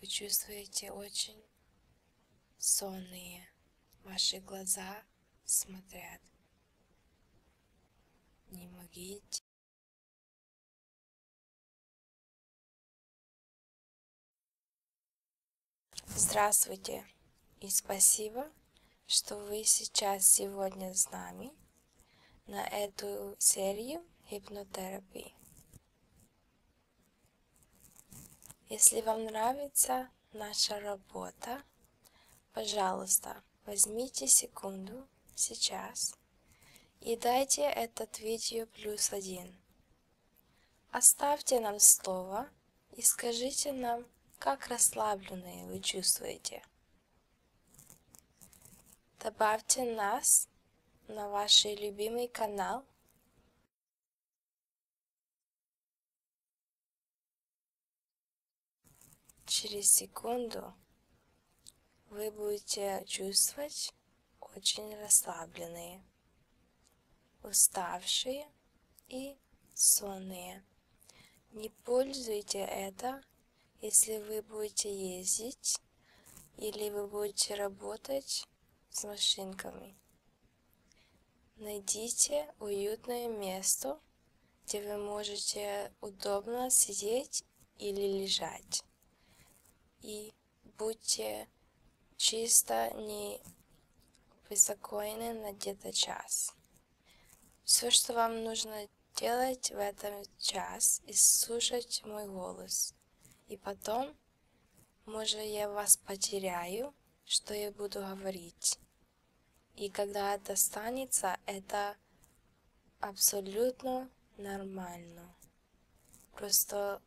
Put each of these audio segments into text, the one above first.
Вы чувствуете очень сонные. Ваши глаза смотрят. Не могите. Здравствуйте и спасибо, что вы сейчас сегодня с нами на эту серию гипнотерапии. Если вам нравится наша работа, пожалуйста, возьмите секунду сейчас и дайте этот видео плюс один. Оставьте нам слово и скажите нам, как расслабленные вы чувствуете. Добавьте нас на ваш любимый канал. Через секунду вы будете чувствовать очень расслабленные, уставшие и сонные. Не пользуйте это если вы будете ездить или вы будете работать с машинками, найдите уютное место, где вы можете удобно сидеть или лежать. И будьте чисто не беспокойны на где-то час. Все, что вам нужно делать в этом час и слушать мой голос. И потом, может, я вас потеряю, что я буду говорить. И когда это станется, это абсолютно нормально. Просто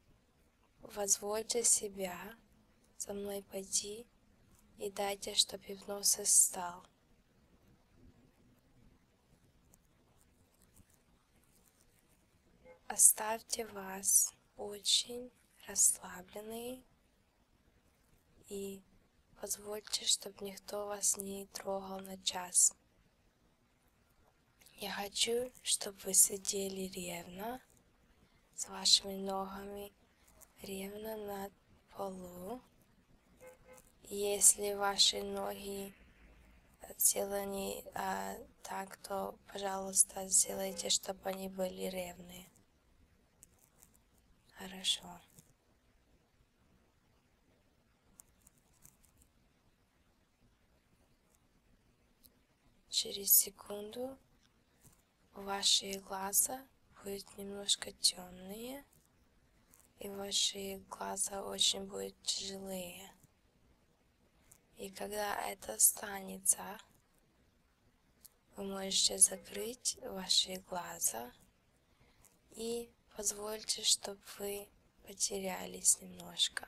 позвольте себя со мной пойти и дайте, чтобы гипноз стал. Оставьте вас очень расслабленные и позвольте, чтобы никто вас не трогал на час. Я хочу, чтобы вы сидели ревно с вашими ногами ревно на полу если ваши ноги сделаны а, так, то, пожалуйста, сделайте, чтобы они были ровные. Хорошо. Через секунду ваши глаза будут немножко темные и ваши глаза очень будут тяжелые. И когда это останется, вы можете закрыть ваши глаза и позвольте, чтобы вы потерялись немножко.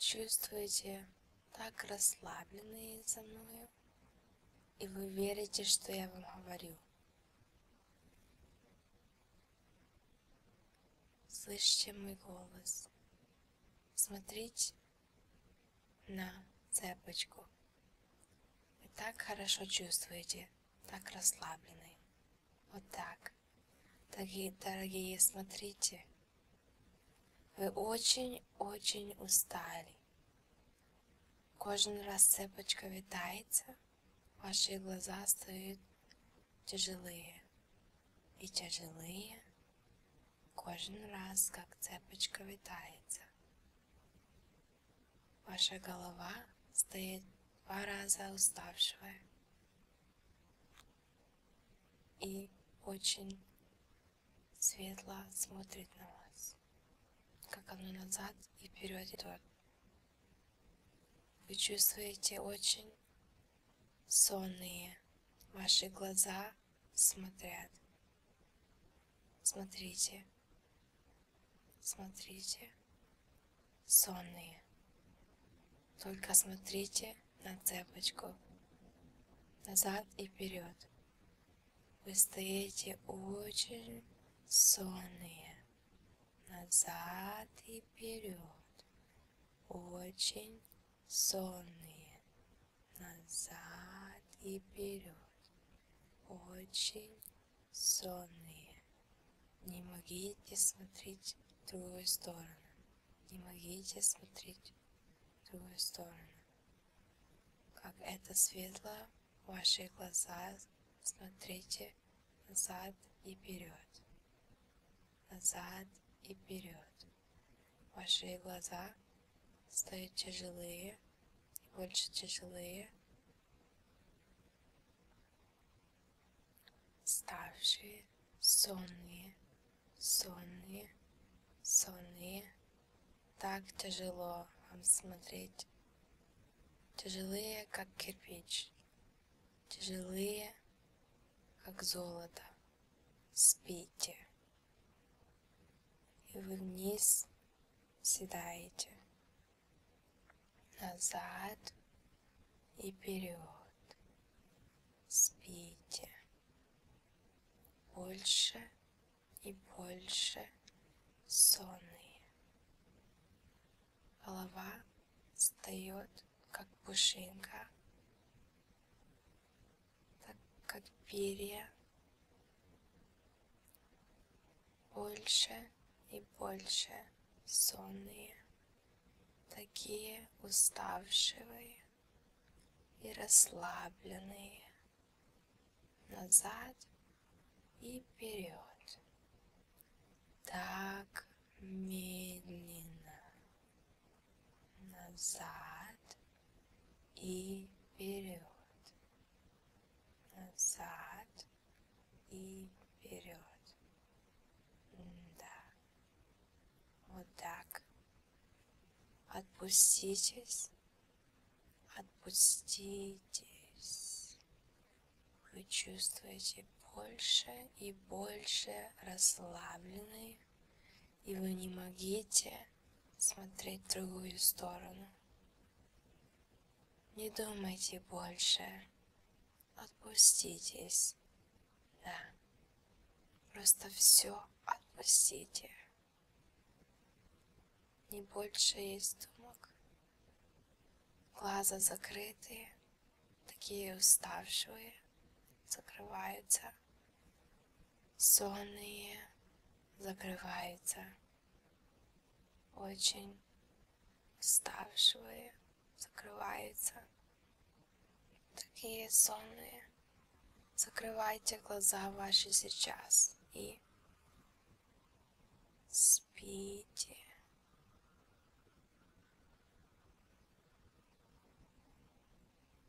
чувствуете так расслабленные со мною, и вы верите, что я вам говорю. Слышите мой голос, смотреть на цепочку. Вы так хорошо чувствуете, так расслаблены. Вот так. Дорогие, дорогие, смотрите. Вы очень-очень устали. Кожен раз цепочка витается, ваши глаза стоят тяжелые и тяжелые кожен раз, как цепочка витається. Ваша голова стає два раза уставшая и очень светло смотрит на вас, как оно назад и вперед идет. Вы чувствуете очень сонные ваши глаза смотрят. Смотрите, смотрите, сонные. Только смотрите на цепочку, назад и вперед. Вы стоите очень сонные, назад и вперед, очень сонные, назад и вперед, очень сонные. Не могите смотреть в другую сторону, не могите смотреть в другую сторону. Как это светло, ваши глаза смотрите назад и вперед, назад и вперед. Ваши глаза стают тяжелые и больше тяжелые, ставшие сонные, сонные, сонные. Так тяжело вам смотреть. Тяжелые, как кирпич. Тяжелые, как золото. Спите. И вы вниз седаете. Назад и вперед. Спите. Больше и больше сонные. Голова встает как пушинка, так как перья. Больше и больше сонные, такие уставшие и расслабленные, назад и вперед. Так медленно, назад и вперед, назад и вперед. Да, вот так. Отпуститесь, отпуститесь. Вы чувствуете больше и больше расслабленных и вы не могите смотреть в другую сторону. Не думайте больше. Отпуститесь. Да. Просто все отпустите. Не больше есть думок. Глаза закрытые, такие уставшие, закрываются сонные закрываются. Очень уставшие закрываются. Такие сонные. Закрывайте глаза ваши сейчас и спите.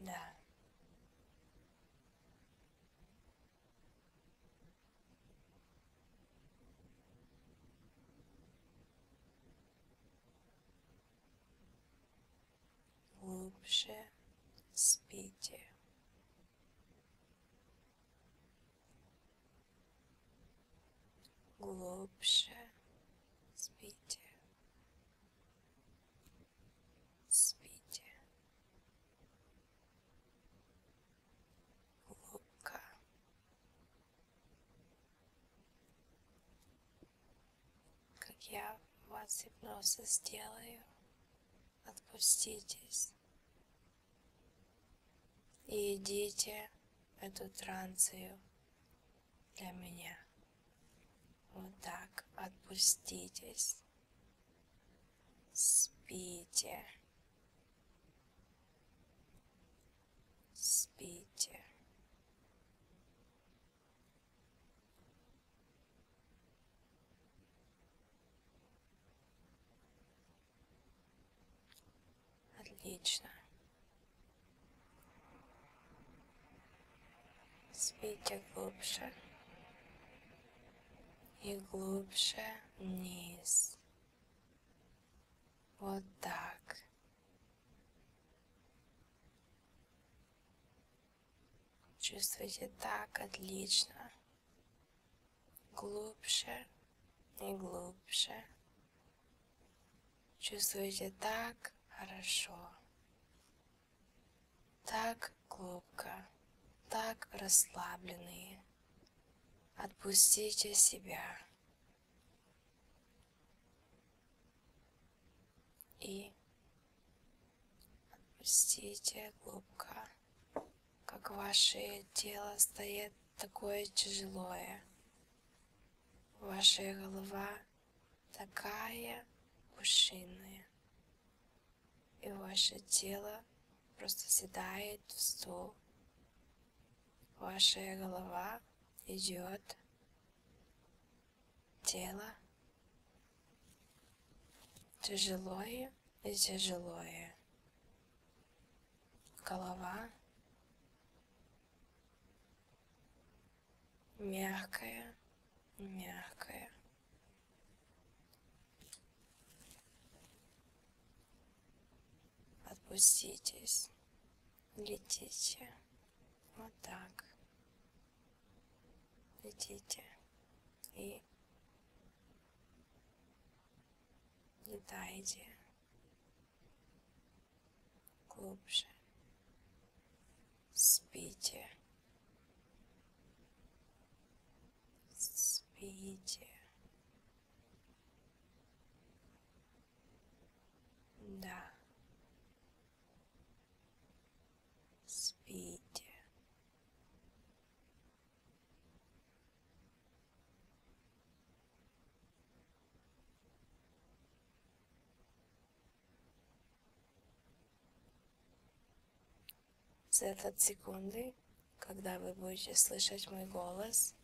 Да. Глубже спите глубже спите, спите, глубоко, как я вас гипноза сделаю, отпуститесь и идите эту транцию для меня. Вот так отпуститесь. Спите. Спите. Отлично. Спите глубже и глубже вниз. Вот так. Чувствуете так отлично глубже и глубже. Чувствуете так хорошо, так глубоко, так расслабленные. Отпустите себя. И отпустите глубоко как ваше тело стоит такое тяжелое. Ваша голова такая пушиная. И ваше тело просто седает в стул. Ваша голова идет. Тело тяжелое и тяжелое голова мягкая, мягкая. Отпуститесь, летите вот так. Летите и летайте глубже. Спите. Спите. Да. Спите. За этот секунды, когда вы будете слышать мой голос,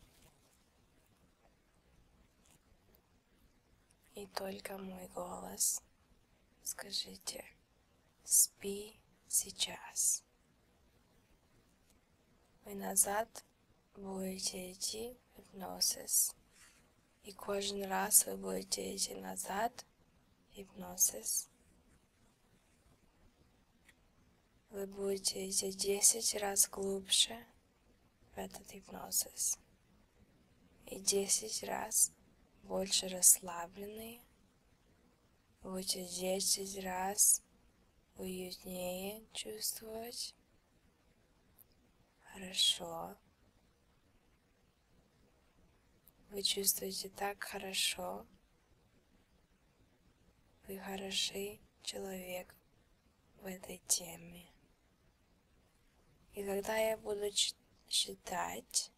и только мой голос, скажите, спи сейчас. Вы назад будете идти гипнозис. І кожен раз ви будете йти назад, гипнозис. Вы будете идти 10 раз глубже в этот гипнозис. И 10 раз больше расслабленные. Будете 10 раз уютнее чувствовать. Хорошо. Вы чувствуете так хорошо. Вы хороший человек в этой теме. И когда я буду считать,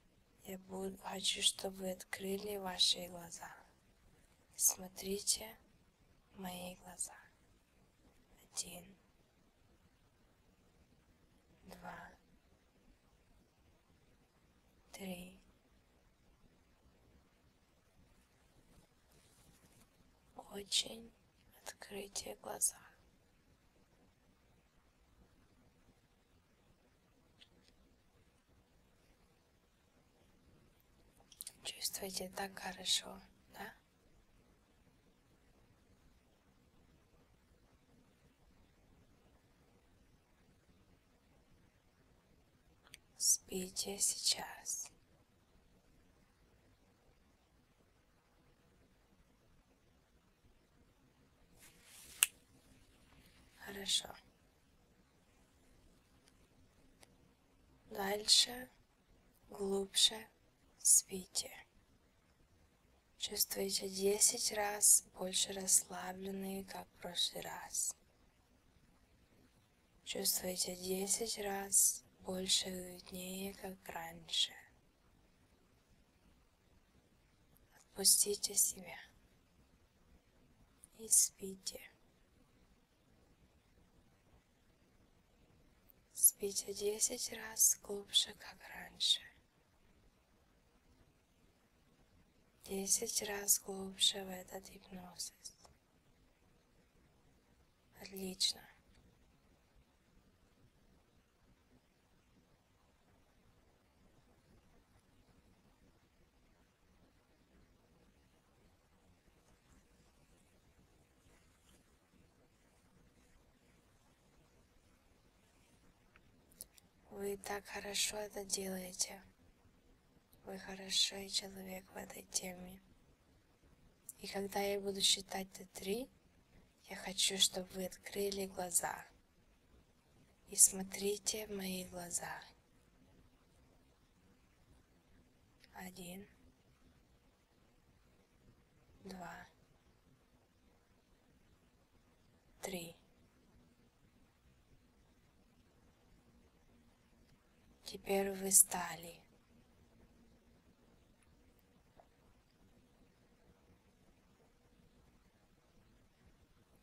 я буду, хочу, чтобы вы открыли ваши глаза. Смотрите мои глаза. Один, два, три. Очень открытие глаза. Чувствуете так хорошо, да? Спите сейчас. Хорошо дальше, глубже в свите. Чувствуете 10 раз больше расслабленные, как в прошлый раз. Чувствуете 10 раз больше и уютнее, как раньше. Отпустите себя и спите. Спите десять раз глубже, как раньше. Десять раз глубже в этот гипноз. Отлично. Вы так хорошо это делаете. Вы хороший человек в этой теме. И когда я буду считать до три, я хочу, чтобы вы открыли глаза. И смотрите в мои глаза один, два, три. Теперь вы стали.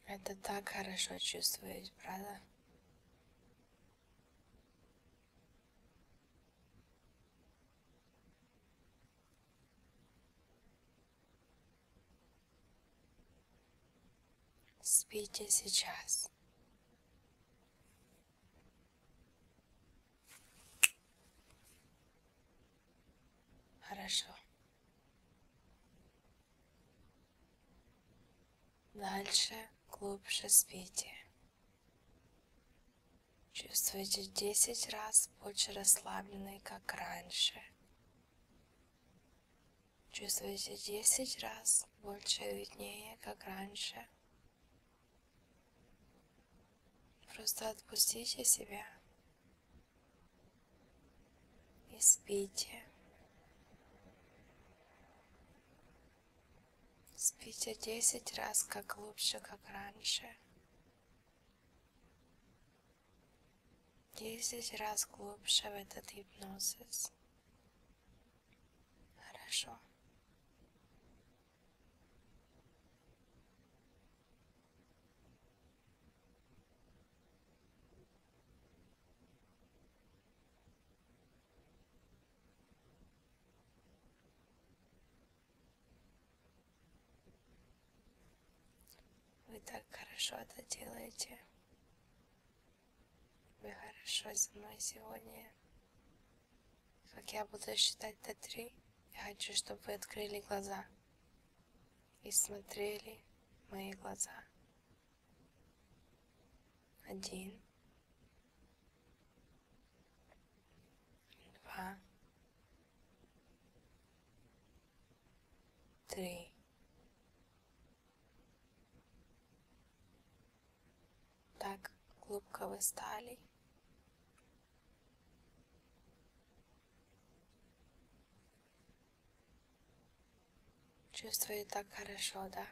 Это так хорошо чувствует, правда? Спите сейчас. Хорошо. Дальше, глубже спите. Чувствуете 10 раз больше расслабленной, как раньше. Чувствуете 10 раз больше виднее, как раньше. Просто отпустите себя и спите Спите десять раз, как глубже, как раньше. Десять раз глубже в этот гипнозис. Хорошо. Вы так хорошо это делаете. Вы хорошо со мной сегодня. Как я буду считать до три, я хочу, чтобы вы открыли глаза и смотрели в мои глаза один, два, три, так глубоко вы стали. Чувствую так хорошо, да?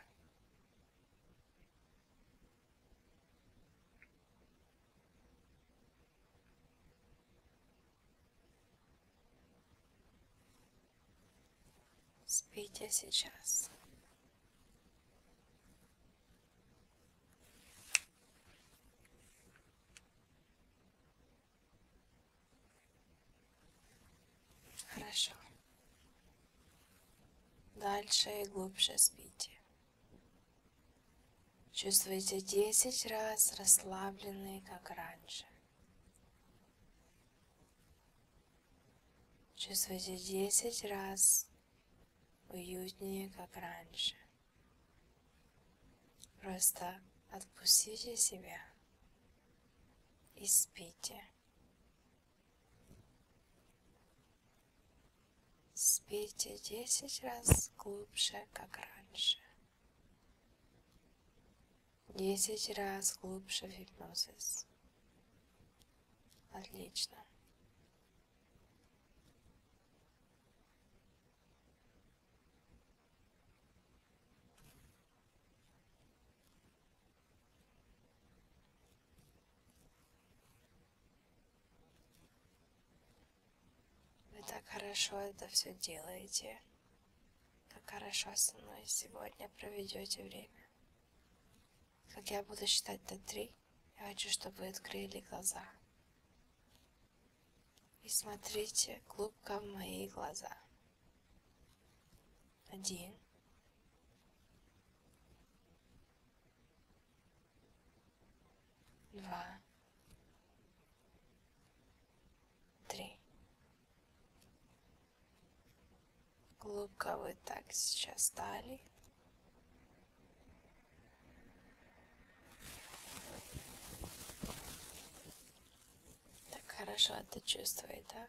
Спите сейчас. Хорошо. Дальше и глубже спите. Чувствуете 10 раз расслабленные, как раньше. Чувствуете 10 раз уютнее, как раньше. Просто отпустите себя и спите. Спите десять раз глубже, как раньше. Десять раз глубже в гипнозис. Отлично. Вы так хорошо это все делаете. Как хорошо со мной сегодня проведете время. Как я буду считать до три, я хочу, чтобы вы открыли глаза. И смотрите глубоко в мои глаза один. Два. Три. Глубоко вы так сейчас стали. Так хорошо это чувствует, да?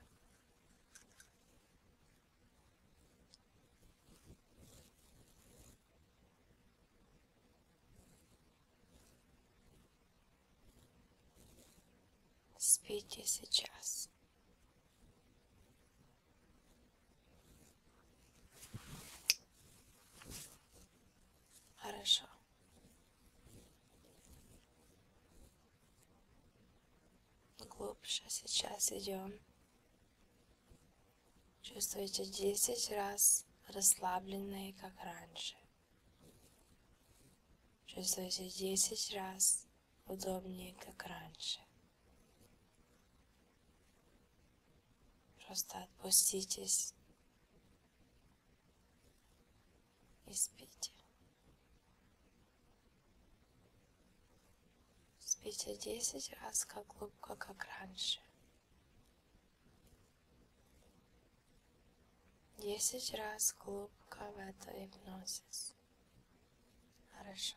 Спите сейчас. Хорошо глубже сейчас идем. Чувствуете 10 раз расслабленные, как раньше. Чувствуете 10 раз удобнее, как раньше. Просто отпуститесь и спите. Спите 10 раз как глубоко, как раньше. 10 раз глубоко в это гипнозис. Хорошо.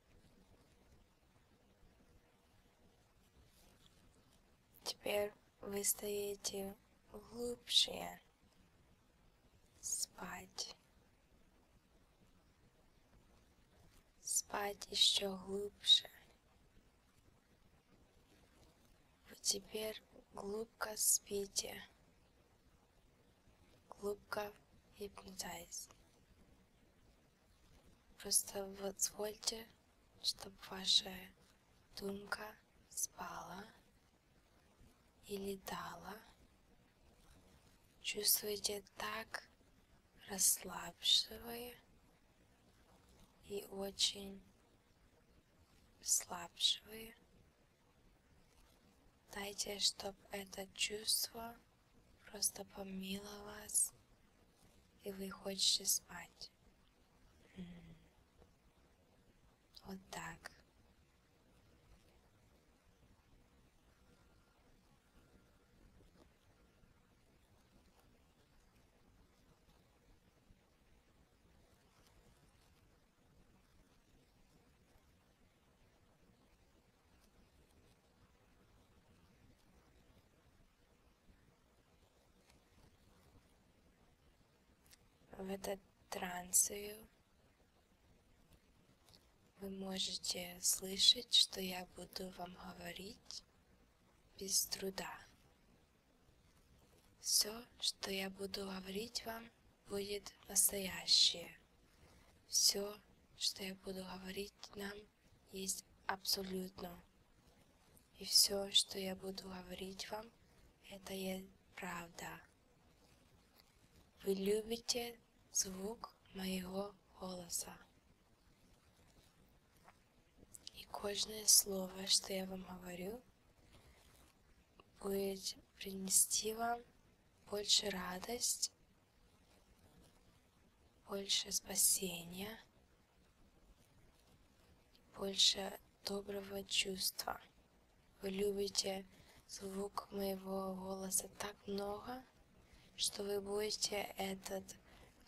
Теперь вы стоите глубже спать. Спать еще глубже. Вы теперь глубоко спите глубоко hypnotize. Просто позвольте, чтобы ваша думка спала или дала. Чувствуйте так, расслабшивая и очень расслабшивая Дайте, чтобы это чувство просто помило вас, и вы хотите спать. Вот так. В этот транс вы можете слышать, что я буду вам говорить без труда. Все, что я буду говорить вам, будет настоящее. Все, что я буду говорить нам, есть абсолютно. И все, что я буду говорить вам, это есть правда. Вы любите звук моего голоса. И каждое слово, что я вам говорю, будет принести вам больше радость больше спасения, больше доброго чувства. Вы любите звук моего голоса так много, что вы будете этот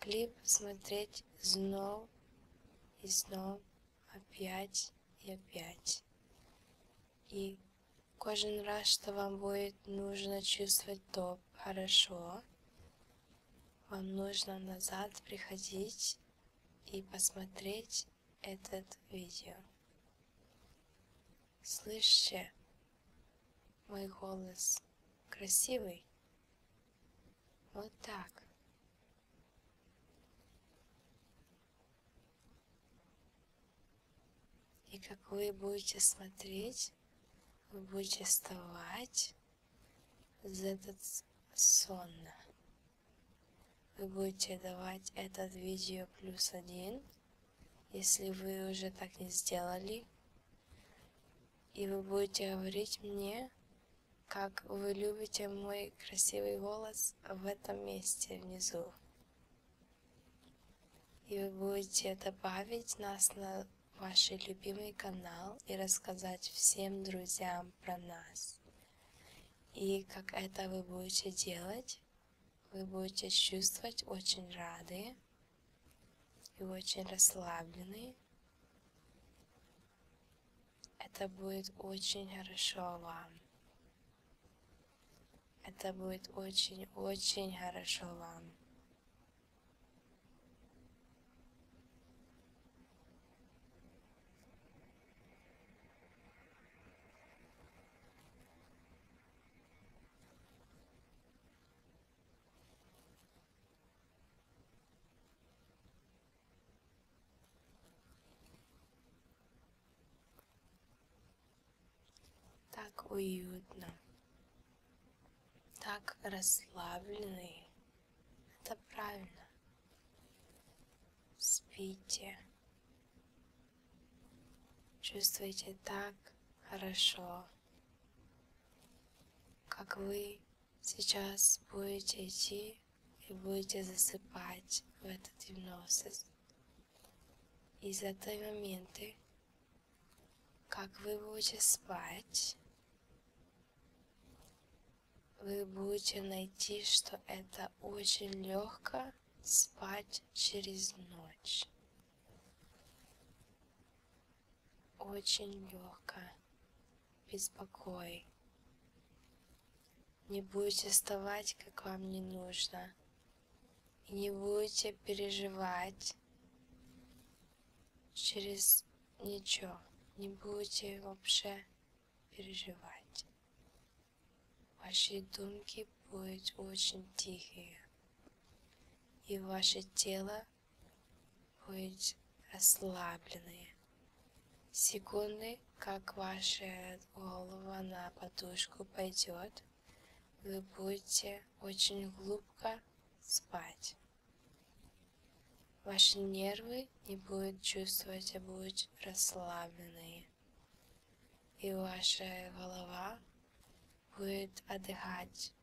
клип смотреть снова и снова, опять и опять. И кожен раз, что вам будет нужно чувствовать то хорошо, вам нужно назад приходить и посмотреть этот видео. Слышите мой голос красивый? Вот так. И как вы будете смотреть, вы будете вставать за этот сон. Вы будете давать этот видео плюс один, если вы уже так не сделали. И вы будете говорить мне, как вы любите мой красивый голос в этом месте внизу. И вы будете добавить нас на ваш любимый канал и рассказать всем друзьям про нас. И как это вы будете делать, вы будете чувствовать очень рады и очень расслаблены. Это будет очень хорошо вам. Это будет очень-очень хорошо вам. Так уютно, так расслабленный. Это правильно. Спите. Чувствуйте так хорошо, как вы сейчас будете идти и будете засыпать в этот гипноз. Exatamente как вы будете спать, вы будете найти, что это очень легко спать через ночь. Очень легко, без покоя. Не будете вставать, как вам не нужно и не будете переживать через ничего. Не будете вообще переживать. Ваши думки будут очень тихие. И ваше тело будет расслабленное. Секунды, как ваша голова на подушку пойдет – вы будете очень глубоко спать. Ваши нервы не будут чувствовать, а будут расслабленные. И ваша голова будет отдыхать.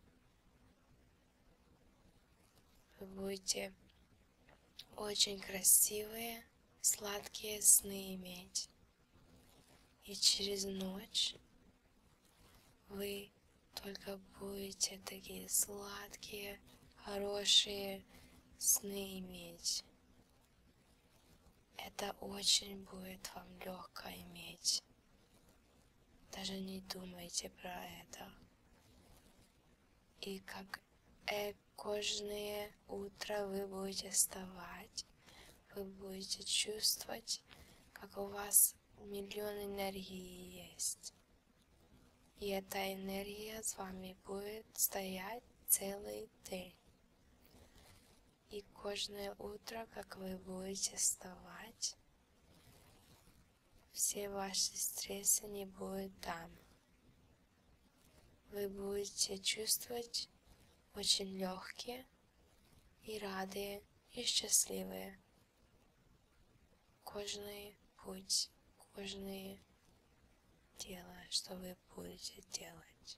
Вы будете очень красивые, сладкие сны иметь. И через ночь вы только будете такие сладкие, хорошие сны иметь. Это очень будет вам легко иметь. Даже не думайте про это. И как э, каждое утро вы будете вставать, вы будете чувствовать, как у вас миллион энергии есть. И эта энергия с вами будет стоять целый день. И каждое утро, как вы будете вставать, все ваши стрессы не будут там. Вы будете чувствовать очень легкие, і радые, і щасливые. Кожний путь, кожне дело, что вы будете делать.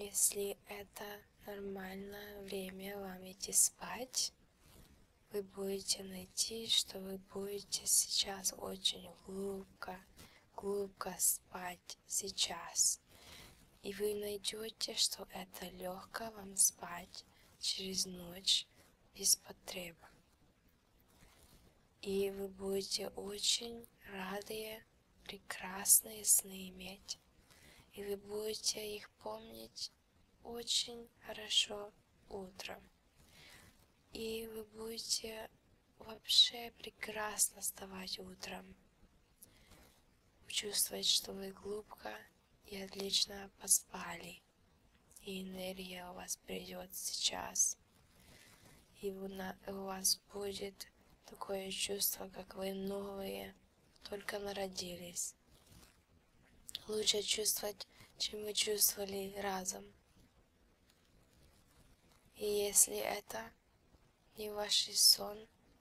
Если это нормально время вам идти спать, вы будете найти, что вы будете сейчас очень глубоко, глубоко спать сейчас вас, и вы найдете, что это легко вам спать через ночь без потреб. И вы будете очень рады прекрасные сны иметь, и вы будете их помнить очень хорошо утром. И вы будете Вообще прекрасно вставать утром. Чувствовать, что вы глубоко и отлично поспали. И энергия у вас придет сейчас. И у вас будет такое чувство, как вы новые, только народились. Лучше чувствовать, чем вы чувствовали разом. И если это я, ни ваш сон,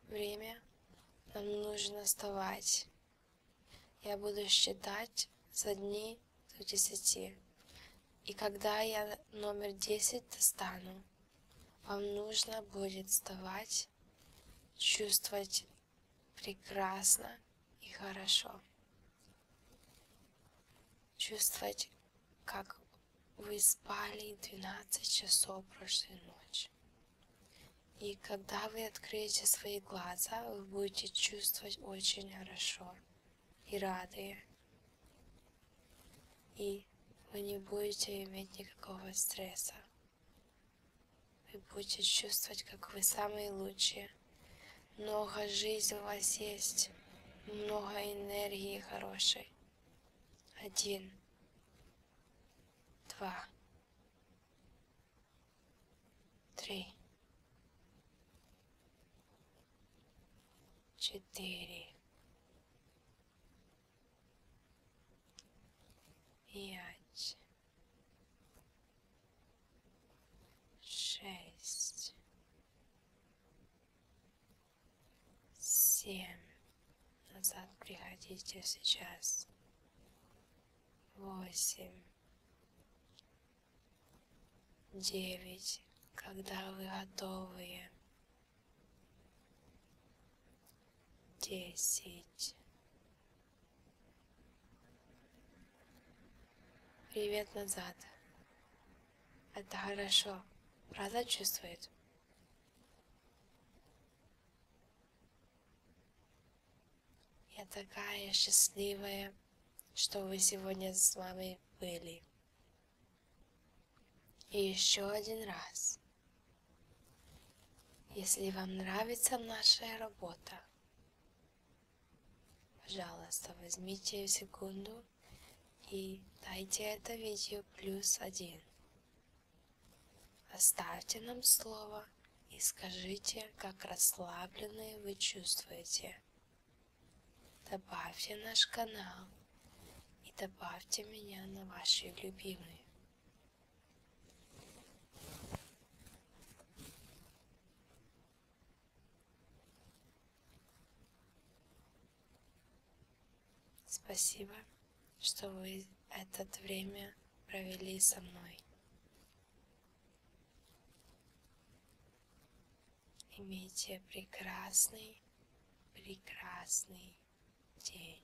время. Нам нужно вставать. Я буду считать за дни до десяти. И когда я номер десять достану, вам нужно будет вставать, чувствовать прекрасно и хорошо. Чувствовать, как вы спали 12 часов прошлой ночи. И когда вы откроете свои глаза, вы будете чувствовать очень хорошо и рады. И вы не будете иметь никакого стресса. Вы будете чувствовать, как вы самые лучшие. Много жизни у вас есть, много энергии хорошей один, два, три, четыре, пять, шесть семь. Назад приходите сейчас. Восемь. Девять. Когда вы готовы. Десять. Привет назад. Это хорошо. Правда чувствует? Я такая счастливая, что вы сегодня с вами были. И еще один раз. Если вам нравится наша работа, пожалуйста, возьмите секунду и дайте это видео плюс один. Оставьте нам слово и скажите, как расслабленные вы чувствуете. Добавьте наш канал и добавьте меня на ваши любимые. Спасибо, что вы это время провели со мной. Имейте прекрасный, прекрасный день.